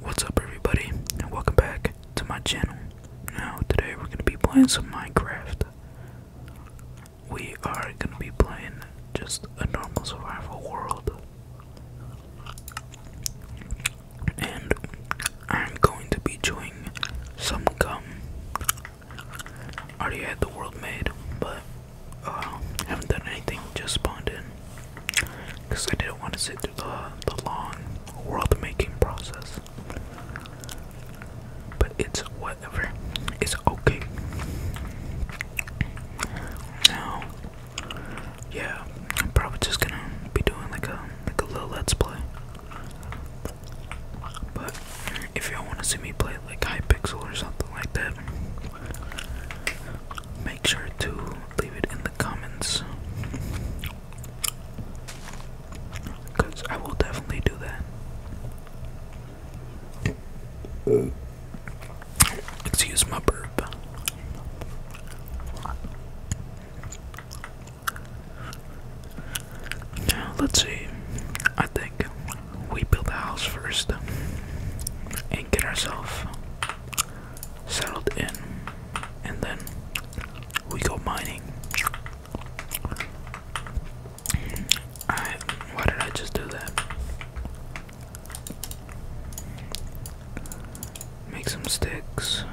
What's up everybody and welcome back to my channel. Now today we're gonna be playing some Minecraft. We are gonna be playing just a normal survival world. And I'm going to be chewing some gum. already had the world made, but uh haven't done anything, just spawned in because I didn't want to sit through the, the long world making process. But it's whatever, it's okay. Now, yeah, I'm probably just gonna be doing like a like a little let's play. But if y'all want to see me play like Hypixel or something like that, make sure to leave it in the comments because I will definitely do that. Excuse my burp. Now, let's see. I think we build the house first and get ourselves settled in, and then we go mining. I, why did I just do that? Make some sticks.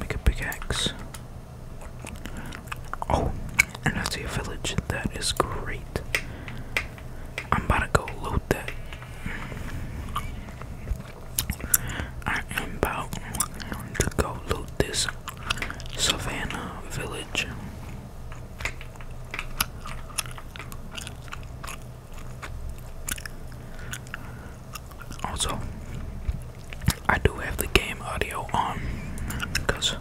Make a pickaxe. Oh, and I see a village. That is great. I'm about to go loot that. I am about to go loot this Savannah village. Also, I do have the game audio on because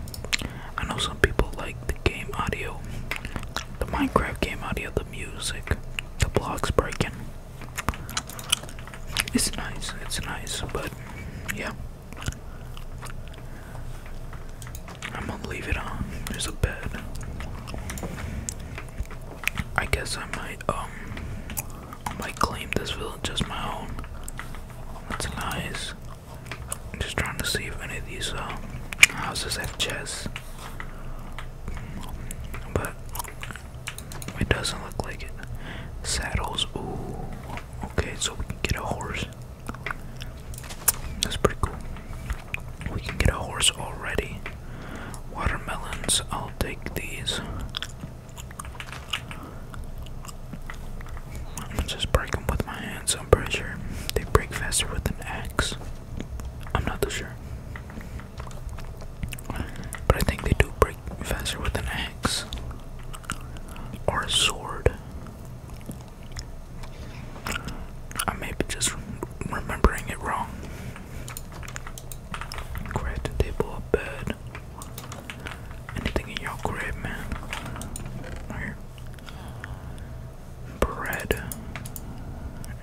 I know some people like the game audio, the Minecraft game audio, the music, the blocks breaking. It's nice, it's nice, but yeah. I'm gonna leave it on. There's a bed. I guess I might, um, might claim this village as my own. That's nice. I'm just trying to see if any of these uh, houses have chests. But it doesn't look like it. Saddles, ooh. Okay, so we can get a horse. That's pretty cool. We can get a horse already. Watermelons, I'll take these. I'm just break with my hands, I'm They break faster with an axe. I'm not too sure. But I think they do break faster with an axe or a sword. I may be just remembering it wrong. Craft a table, bed. Anything in your crib, man? here bread,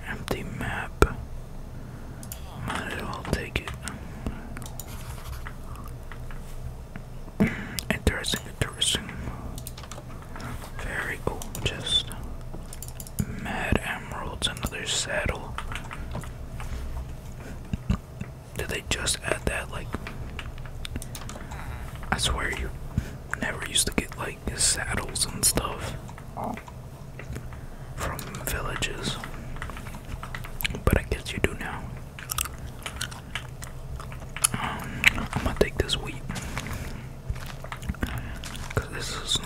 empty map. Might as well take it. interesting, interesting. Very cool. Just mad emeralds, another saddle. Did they just add that? Like, I swear you Never used to get like saddles and stuff from villages, but I guess you do now. Um, I'm gonna take this wheat because this is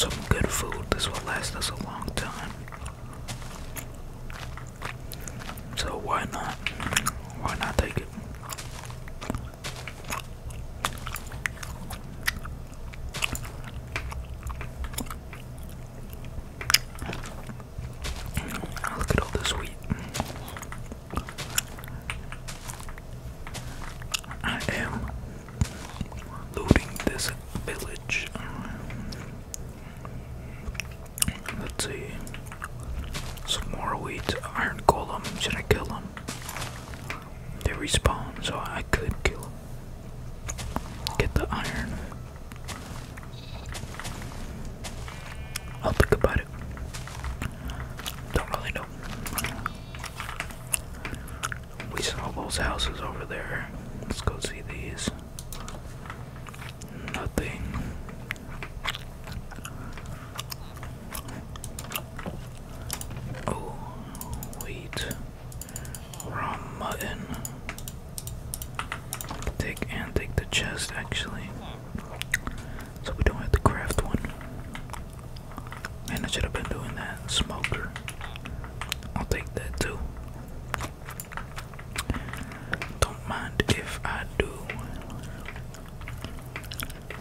some good food. This will last us a long time. So why not? Why not take it? Look at all this wheat. I am looting this village. Let's see. Some more weeds. Iron Golem. Should I kill him? They respawn, so I could kill him. Get the iron. I'll think about it. Don't really know. We saw those houses over there. Let's go see these. Nothing. Oh, wait, raw mutton. Take and take the chest actually. So we don't have to craft one. Man, I should have been doing that. Smoker. I'll take that too. Don't mind if I do.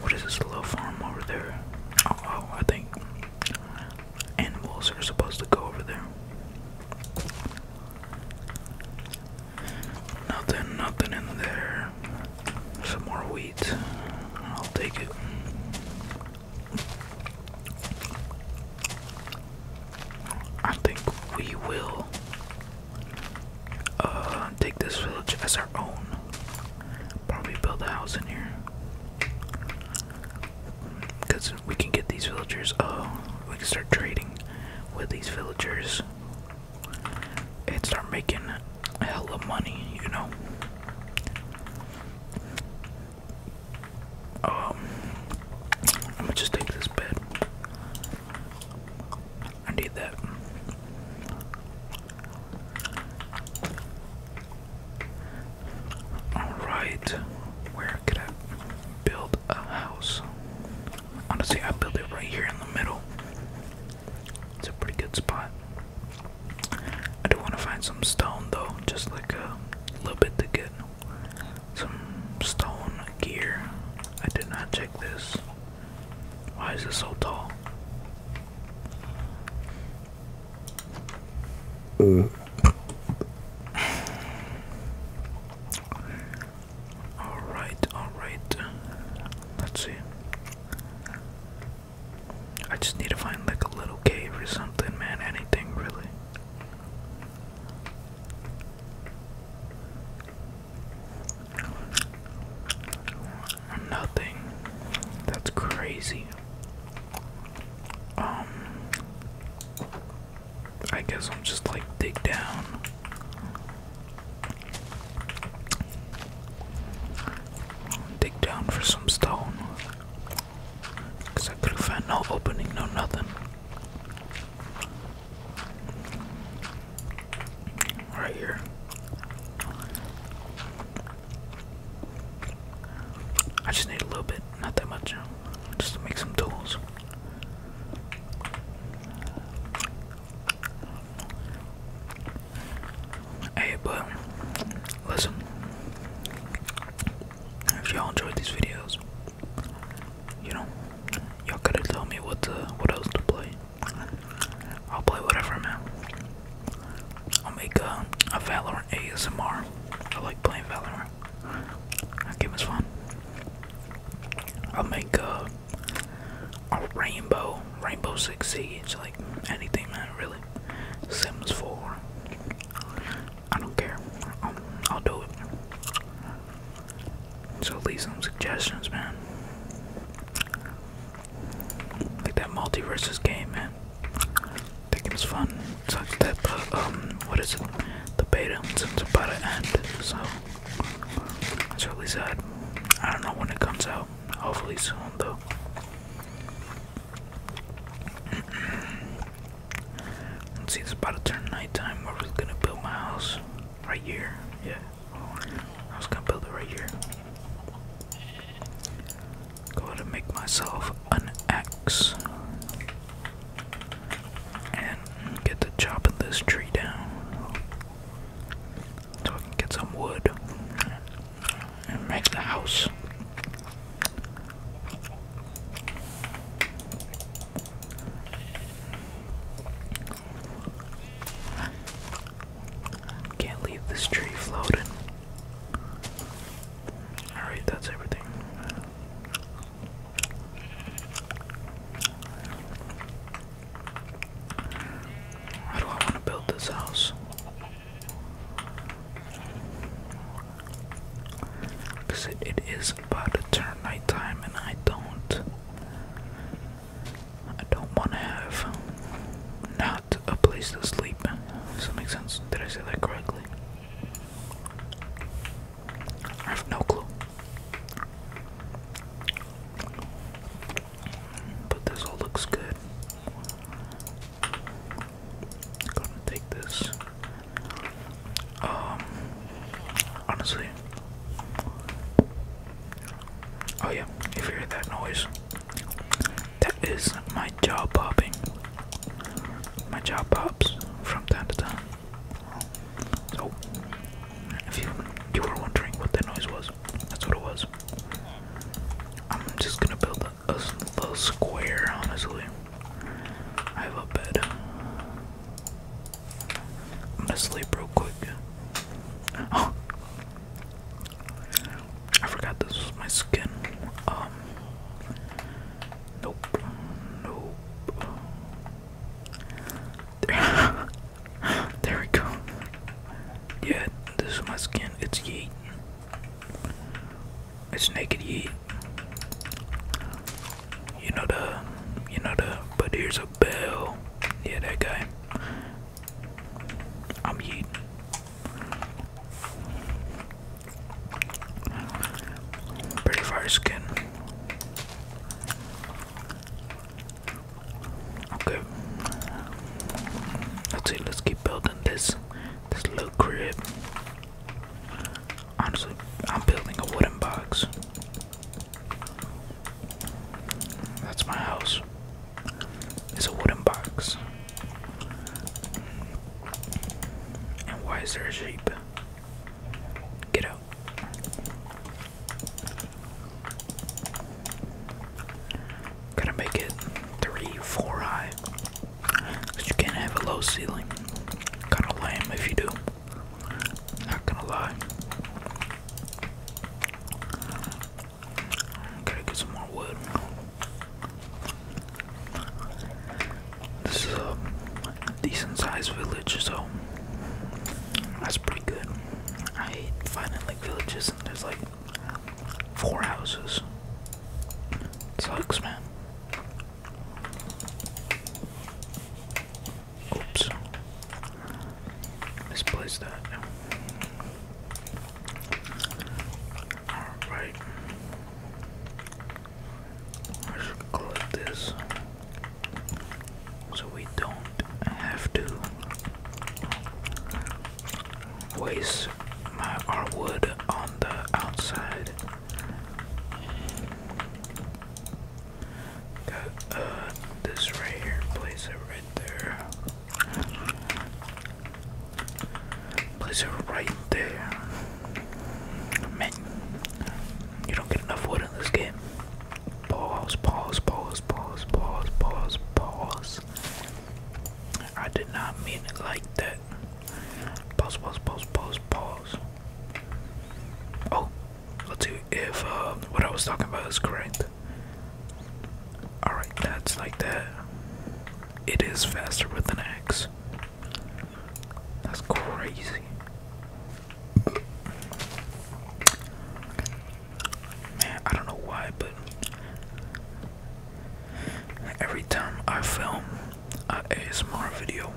What is this little farm over there? Oh, oh, I think animals are supposed to go over there. Nothing, nothing in there. Some more wheat. I'll take it. I think we will uh, take this village as our own. Probably build a house in here. Because we can get these villagers, Oh, we can start trading with these villagers and start making a hell of money, you know? Um, I'm just take this bed. I need that. Alright, where could I build a house? Honestly, I built it right here in the middle. It's a pretty good spot. I do want to find some stone though, just like a little bit to get some stone gear. I did not check this. Why is it so tall? Mm. all right, all right. Let's see. I just need to find like a little cave or something, man. Anything really. Nothing. That's crazy. Um I guess I'm just like dig down. Dig down for some stone. Cause I could've found no opening, no nothing right here. I just need a little bit, not that much, just to make some tools. Hey, but listen, if y'all enjoyed these videos, you know, y'all gotta tell me what what else to play. I'll play whatever, man. I'll make a, uh, a Valorant ASMR. I like playing Valorant. That game is fun. I'll make a, uh, a Rainbow, Rainbow Six Siege, like anything, man, really. Sims 4. I don't care. I'll, um, I'll do it. So leave some suggestions, man. Like that multiverses game, man. I think it fun. So like that, but, um, what is it? The beta, it's about to end, so that's really sad. I don't know when it comes out. Hopefully soon, though. Let's see, it's about to turn nighttime. Where we're gonna build my house right here. Yeah. I was gonna build it right here. Go ahead and make myself an axe. And get to chopping this tree down. So I can get some wood. And make the house. Can't leave this tree floating. Alright, that's everything. How do I build this house? Because it is about to turn nighttime and I don't I don't want to have not a place to sleep. Does that make sense? Did I say that correctly? I have no clue. But this all looks good. gonna take this. Um honestly Oh yeah, if you heard that noise, that is my jaw popping. My jaw pops from time to time. So, if you you were wondering what that noise was, that's what it was. I'm just gonna build a, a little square, honestly. I have a bed. I'm gonna sleep real quick. Oh, I forgot this was my skin. Um, nope, nope. There, there we go. Yeah, this is my skin. It's yeet. It's naked yeet. You know the, you know the. But here's a bell. Yeah, that guy. I'm eating. Pretty fire skin. Okay. Let's see, let's keep building this this little crib. Honestly, I'm building a wooden box. That's my house. It's a wooden box. And why is there a sheep? Get out. Gotta make it three, four high. Cause you can't have a low ceiling. Kind of lame if you do. Not gonna lie. Gotta get some more wood. This is a decent sized village, so that's pretty good. I hate finding like villages and there's like four houses. It sucks, man. Oops. Misplace that. Alright. I should collect this. So we don't have to waste my our on the outside. Got uh this right here, place it right there. Place it right there. Man, you don't get enough wood in this game. Pause, pause, pause, pause, pause, pause, pause. I did not mean it like that. Pause, pause, pause, pause, pause. Oh, let's see if uh, what I was talking about is correct. Alright, that's like that. It is faster with an axe. That's crazy. Man, I don't know why, but every time I film a ASMR video,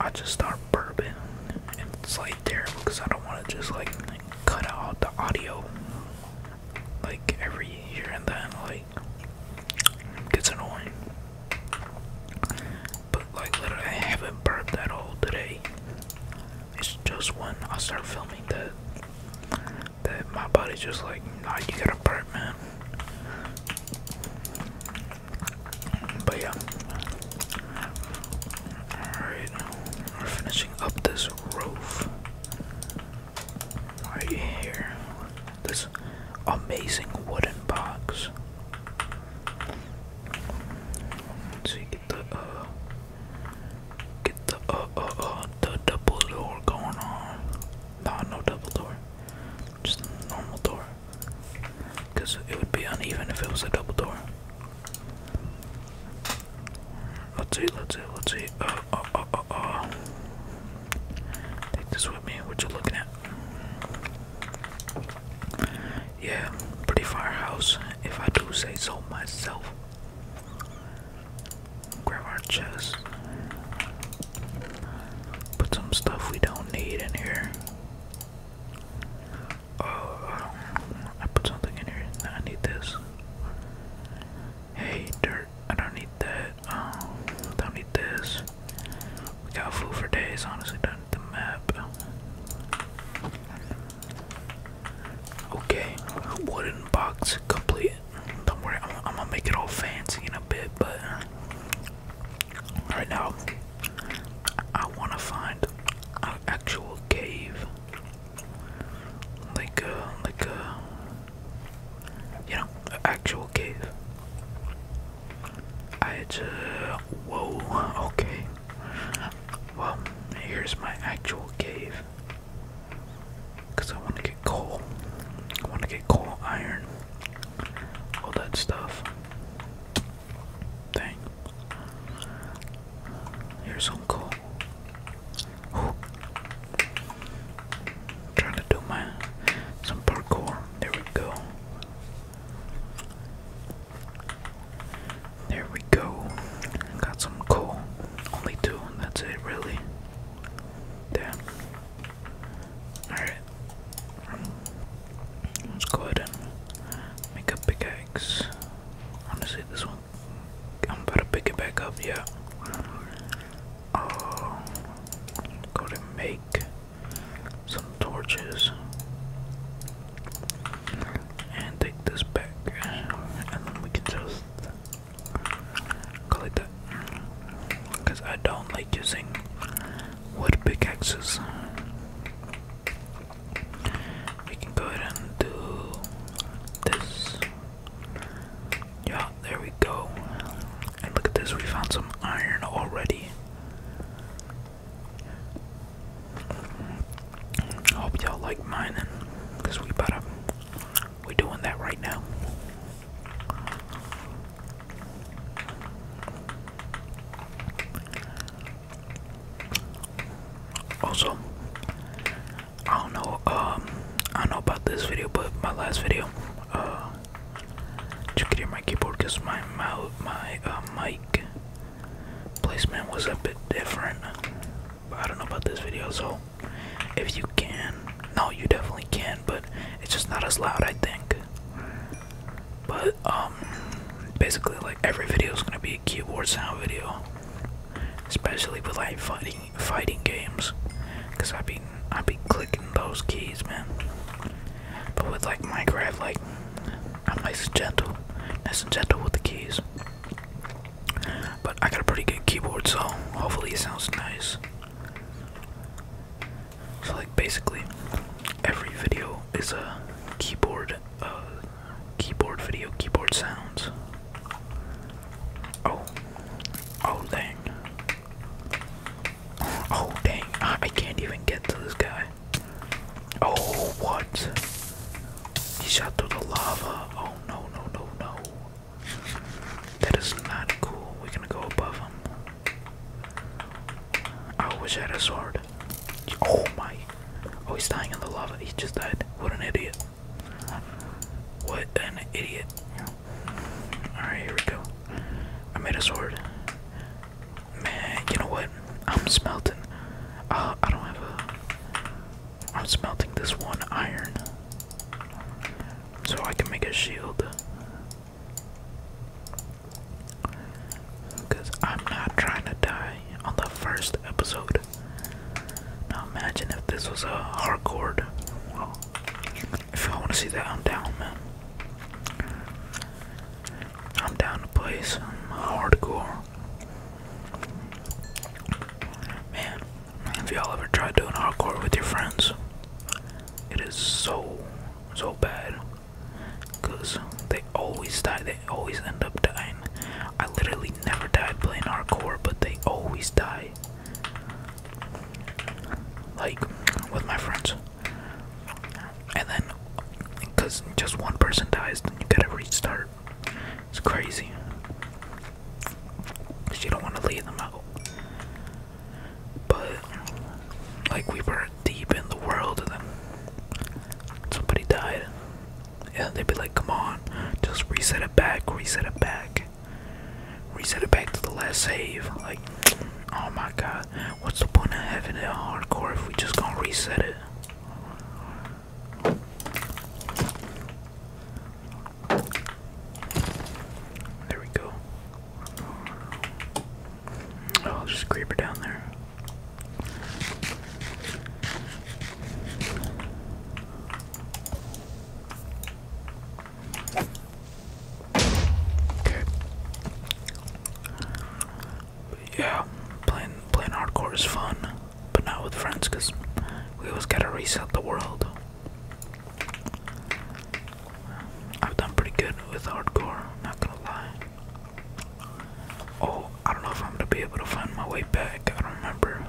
I just start burping. it's like terrible because I don't want to just like cut out the audio like every here and then like it's annoying. But like literally I haven't burped at all today. It's just when I start filming that that my body's just like, nah you gotta burp man. But yeah. Alright. We're finishing up this roof right here. This amazing wooden box. So get the uh, get the uh, uh, the double door going on. No, no double door, just normal door. Cause it would be uneven if it was a double door. Let's see, let's see, let's see. Oh, oh, oh, oh, oh. Take this with me. What you looking at? Yeah, pretty firehouse, if I do say so myself. Grab our chest. Put some stuff we don't need in here. Oh, I put something in here. I need this. Hey, dirt. I don't need that. Um, don't need this. We got food for days, honestly. do the map. Okay, wooden box complete. Don't worry, I'm, I'm gonna make it all fancy in a bit, but right now I wanna find an actual cave like a uh, like a uh, you know actual cave. I just uh, whoa okay. Well, here's my actual cave. Cause I want to get coal. I want to get coal, iron, all that stuff. Dang. Here's some coal. Ooh. Trying to do my some parkour. There we go. There we go. Got some cool. Only two. That's it, really. Damn. Alright. Let's go ahead and make a pickaxe. Honestly, this one I'm going to pick it back up, yeah. Uh, go to make some torches and take this back, and then we can just collect that. Because I don't like using wood pickaxes we can go ahead and do this. Yeah, there we go. And look at this, we found some iron already. hope y'all like mining, because we about we doing that right now. Also, I don't know. Um, I know about this video, but my last video, uh, you hear my keyboard because my mouth, my uh, mic placement was a bit different. I don't know about this video, so if you can, no, you definitely can, but it's just not as loud, I think. But um, basically, like every video is gonna be a keyboard sound video especially with like fighting fighting games, cause I be I be clicking those keys, man. But with like Minecraft, like I'm nice and gentle, nice and gentle with the keys. But I got a pretty good keyboard, so hopefully it sounds nice. So like basically, every video is a keyboard uh, keyboard video keyboard sounds. Oh, oh dang, oh dang, I can't even get to this guy. Oh, what? He shot through the lava. Oh no, no, no, no. That is not cool. We're gonna go above him. I wish I had a sword. Oh my. Oh, he's dying in the lava. He just died. What an idiot. What an idiot. Alright, here we go. I made a sword. Man, you know what? I'm smelting. Uh, I don't have a. I'm smelting this one iron. So I can make a shield. Because I'm not trying to die on the first episode. Now imagine if this was a hardcore. If y'all want to see that, I'm down, man. I'm down to play some hardcore. Man, If y'all ever try doing hardcore with your friends? It is so, so bad. Because they always die, they always end up dying. I literally never died playing hardcore, but they always die. Like with my friends. And then, because just one person dies, then you gotta restart. It's crazy. Because don't want to leave them out. But, like, we were deep in the world, then somebody died. And they'd be like, come on, just reset it back, reset it back, reset it back to the last save. Like, oh my god, what's the point of having it hardcore if we just gonna reset it? There we go. Oh, there's a creeper down there. Yeah, playing playing hardcore is fun, but not with friends because we always gotta reset the world. I've done pretty good with hardcore, not gonna lie. Oh, I don't know if I'm gonna be able to find my way back. I don't remember.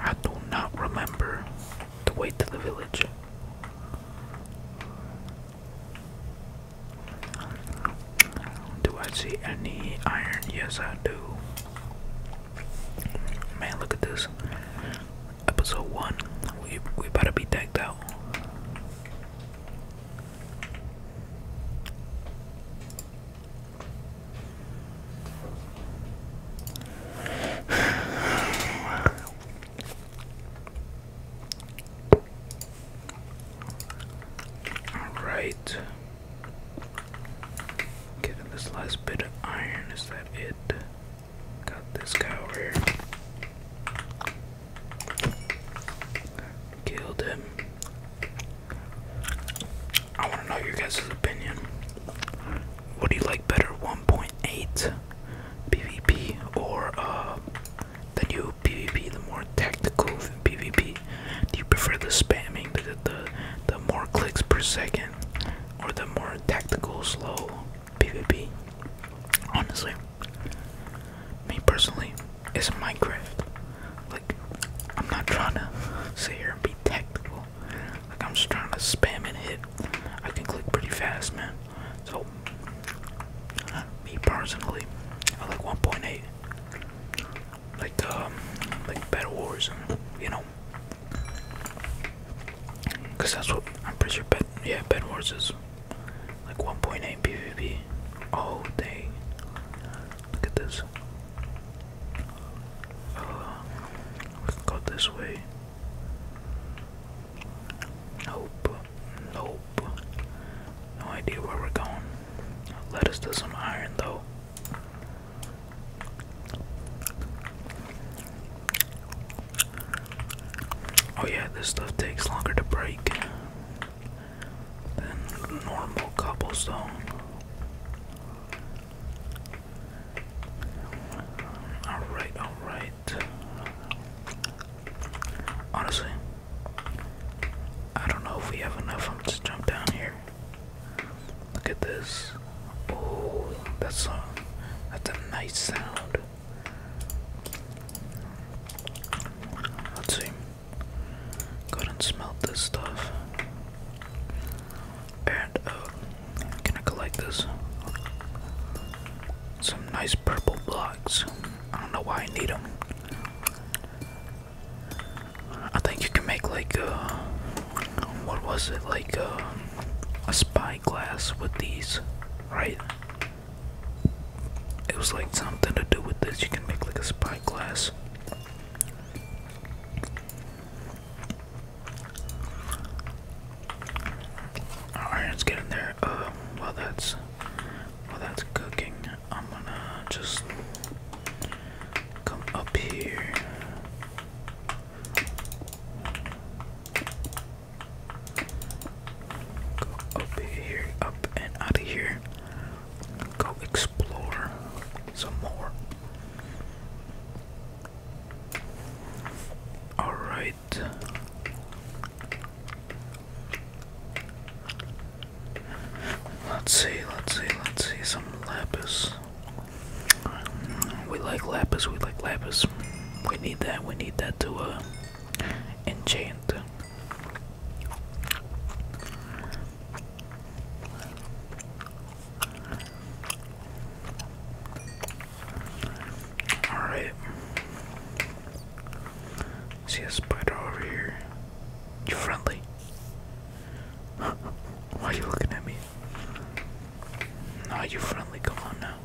I do not remember the way to the village. Do I see any iron? Yes, I do. Man, look at this. Episode 1. We, we better be decked out. All right. Getting this last bit of iron. Is that it? Got this guy here. Killed him. I want to know your guys' opinion. What do you like better, 1.8 PvP or uh, the new PvP, the more tactical PvP? Do you prefer the spamming, the, the, the more clicks per second, or the more tactical, slow PvP? Honestly, me personally, it's Minecraft. Like, I'm not trying to sit here and be tactical. Like, I'm just trying to spam and hit. I can click pretty fast, man. So, me personally, I like 1.8. Like, um, like Bed Wars, and, you know. Because that's what I'm pretty sure, bed, yeah, Bed Wars is like 1.8 PvP. Oh, dang. Look at this. Uh, we can this way. Nope. Nope. No idea where we're going. Let us do some iron though. Oh yeah, this stuff takes longer to break than normal cobblestone. Alright, alright. Honestly, I don't know if we have enough. I'm just jump down here. Look at this. Oh, that's a that's a nice sound. Let's see. Go ahead and smelt this stuff. And uh, can I collect this? Some nice purple blocks. I don't know why I need them. I think you can make like a. Uh, what was it like a? Uh, a spyglass with these, right? It was like something to do with this. You can make like a spyglass let's get in there. Uh, while that's while that's cooking, I'm gonna just come up here. Go up here, up and out of here go explore some more. Alright. Let's see, let's see, let's see some lapis. We like lapis, we like lapis. We need that, we need that to uh, enchant. Alright. See a spider over here. You friendly? Why are you looking at me? Are you friendly. Come on now.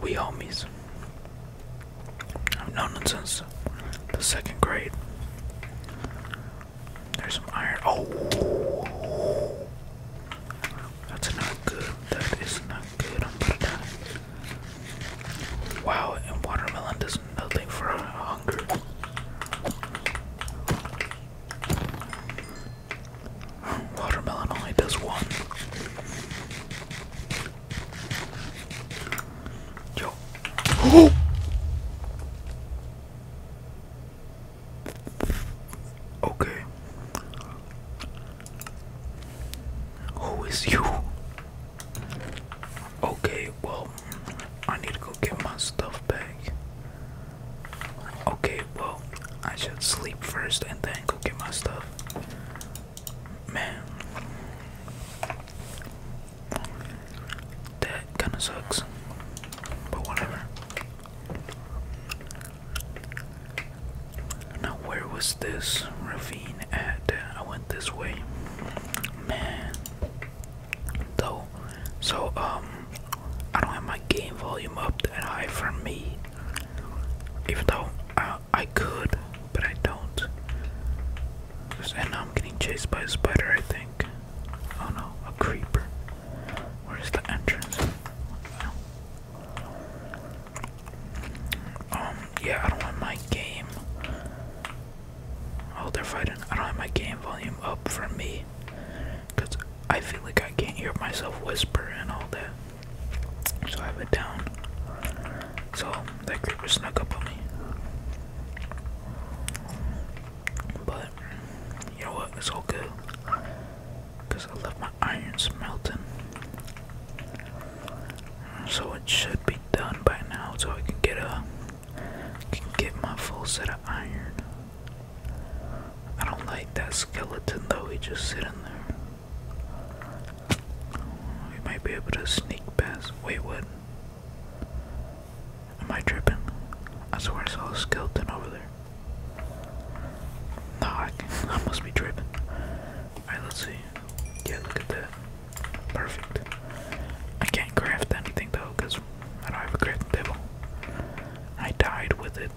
We homies. I've known it since the second grade. There's some iron. Oh, that's not good. That is not good. I'm gonna die. Wow, and watermelon does nothing for hunger. Watermelon only does one. Yo. Okay. Who is you? Okay, well, I need to go get my stuff back. Okay, well, I should sleep first and then go get my stuff. Man. That kinda sucks. But whatever. Now where was this ravine at? I went this way. Man. Though so um I don't have my game volume up that high for me. Even though I, uh, I could but I don't. And I'm getting chased by a spider, I think. Oh no, a creeper. Where's the entrance? Um, yeah, I don't want my game. Oh, they're fighting. I don't have my game volume up for me. Because I feel like I can't hear myself whisper and all that. So I have it down. So that creeper snuck up on me. But, you know what, it's all good. Because I left my irons melting. So it should be done by now, so I can get a, can get my full set of iron. I don't like that skeleton though, he just sit in there. We might be able to sneak past. Waywood. Am I tripping? I swear I saw a skeleton over there. No, I, can, I must be tripping. Alright, let's see. Yeah, look at that. Perfect. I can't craft anything though, because I don't have a crafting table. I died with it.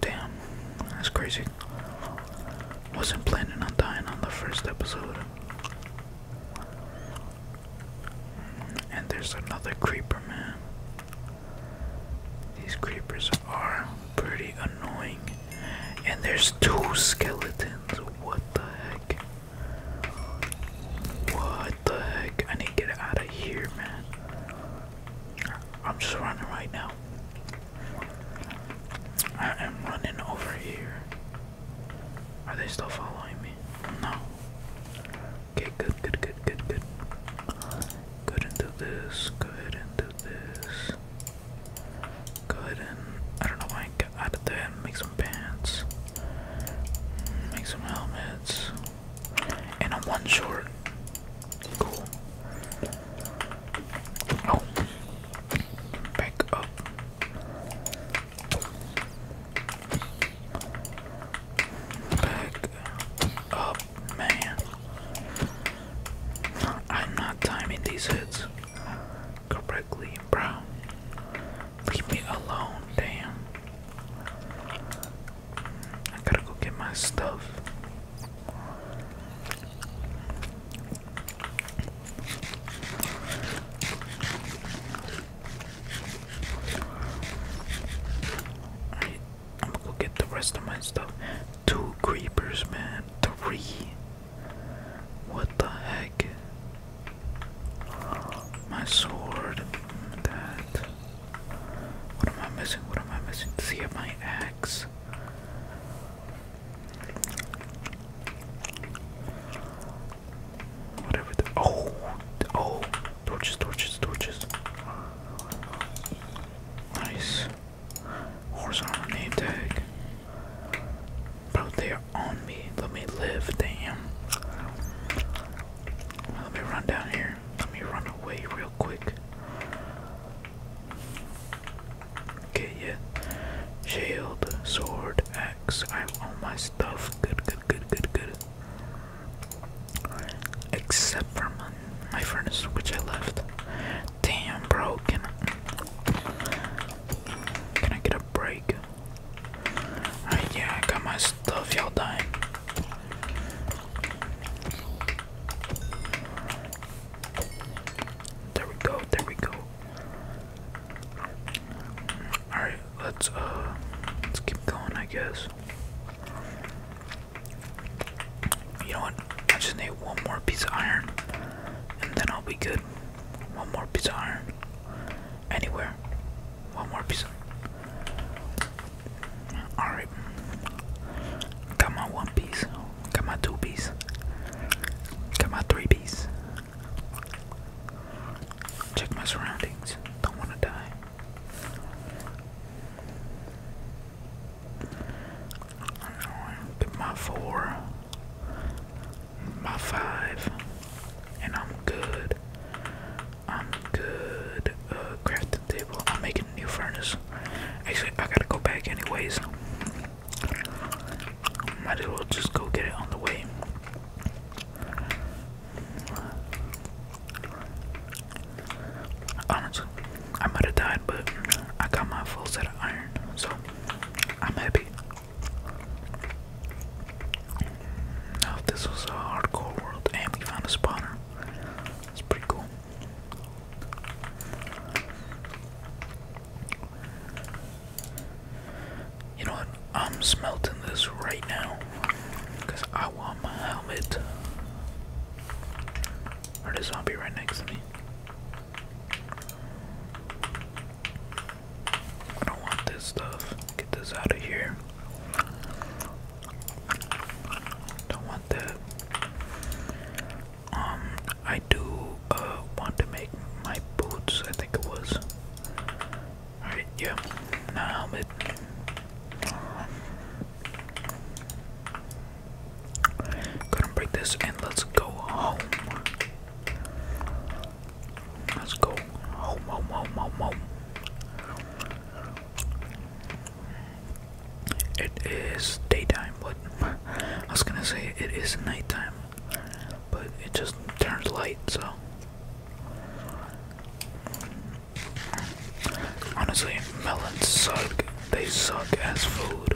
Damn, that's crazy. Wasn't planning on dying on the first episode. And there's another creeper, man. These creepers are pretty annoying. And there's two skeletons. What the heck? What the heck? I need to get out of here, man. I'm just running right now. I am running over here. Are they still following me? No. Okay, good, good, good, good, good. Go ahead and do this. Go ahead and do this. Go ahead and I don't know why I get out of there and make some pants. Make some helmets. And I'm one short. Cool. Oh, back up. Back up, man. I'm not timing these hits correctly, bro. Leave me alone, damn. I gotta go get my stuff. I'm gonna go get the rest of my stuff. Two creepers, man. Three. What the heck? My sword. That. What am I missing? What am I missing? See, my axe this. Whatever oh oh torches torches torches Nice Horse armor name tag Bro they're on me let me live damn Let me run down here let me run away real quick Okay, yeah. Shield, sword, axe. I have all my stuff. Good, good, good, good, good. Except for my, furnace, which I left. Damn, broken. Can I, get a break? Uh, yeah, I got my stuff. Y'all dying. There we go, there we go. Alright, let's uh let's keep going I guess. You know what? I just need one more piece of iron and then I'll be good. One more piece of iron. Anywhere. One more piece of Alright. Got my one piece. Got my two piece. Got my three piece. Check my surroundings. Don't want to die. Get my four. My five. And I'm good. I'm good. Uh, crafting table. I'm making new furnace. Actually, I gotta go back anyways. Might as well just go get it on the way. Honestly, I might have died, but I got my full set of iron, so I'm happy. Now, if this was a hardcore world and we found a spawner, it's pretty cool. You know what? I'm smelting this right now because I want my helmet. There's a zombie right next to me. don't want this stuff. Get this out of here. Don't want that um I do uh want to make my boots I think it was alright yeah now helmet gonna break this and let's go home let's go home home home home home it is daytime, but I was gonna say it is nighttime, but it just turned light, so. Honestly, melons suck. They suck as food.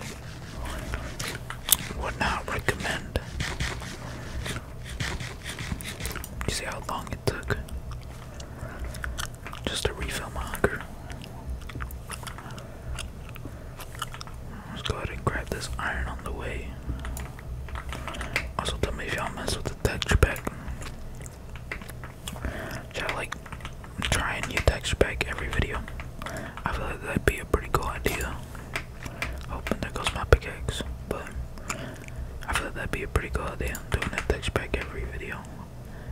Would not recommend. You see how long it took? Just to refill my hunger. Let's go ahead and grab this iron on the way. Also, tell me if y'all mess with the texture pack. Should like try a new texture pack every video? I feel like that'd be a pretty cool idea. Oh, there goes my pickaxe. But I feel like that'd be a pretty cool idea. Doing a texture pack every video.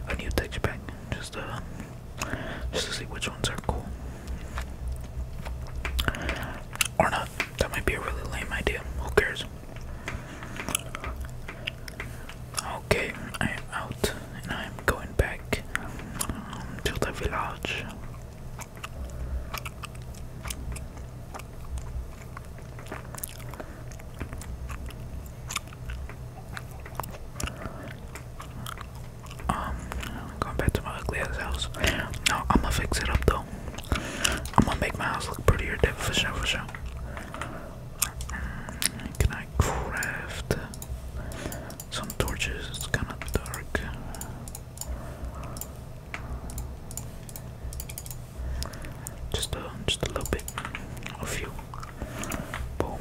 A new texture pack. Just uh just to see which ones are cool or not. That might be a really lame idea. Who cares? Okay, I am out and I am going back um, to the village. I'm um, going back to my ugly house. No, I'm gonna fix it up though. I'm gonna make my house look prettier, for sure, for sure. Mm, can I craft some torches? It's kind of dark. Just a, just a little bit, a few. Boom,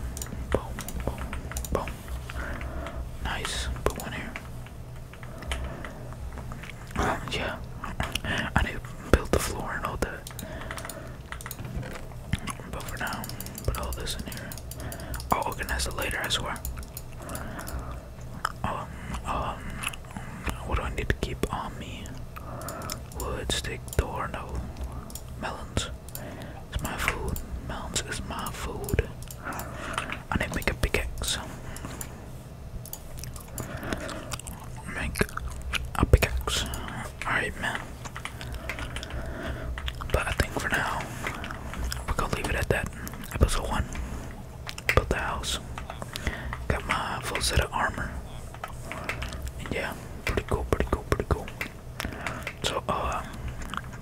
boom, boom, boom. Nice. Put one here. yeah. I need to build the floor and all that. But for now, put all this in here. I'll organize it later, I swear. Um, um, what do I need to keep on me? Wood, stick, door, no. Melons. It's my food. Melons is my food. I need to make a pickaxe. Make a pickaxe. Alright, man. But I think for now, we're gonna leave it at that. Episode 1. Built the house. Got my full set of armor. yeah, pretty cool, pretty cool, pretty cool. So, um, uh,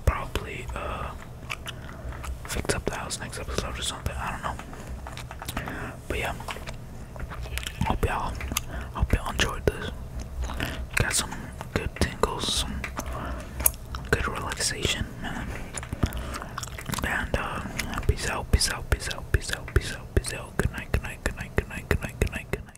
probably, fix up the house next episode or something. I don't know. But yeah, hope y'all, hope y'all enjoyed this. Got some good tingles, some good relaxation, And uh, peace out, peace out, peace out, peace out, peace out, peace out. good night, good night, good night, good night, good night, good night.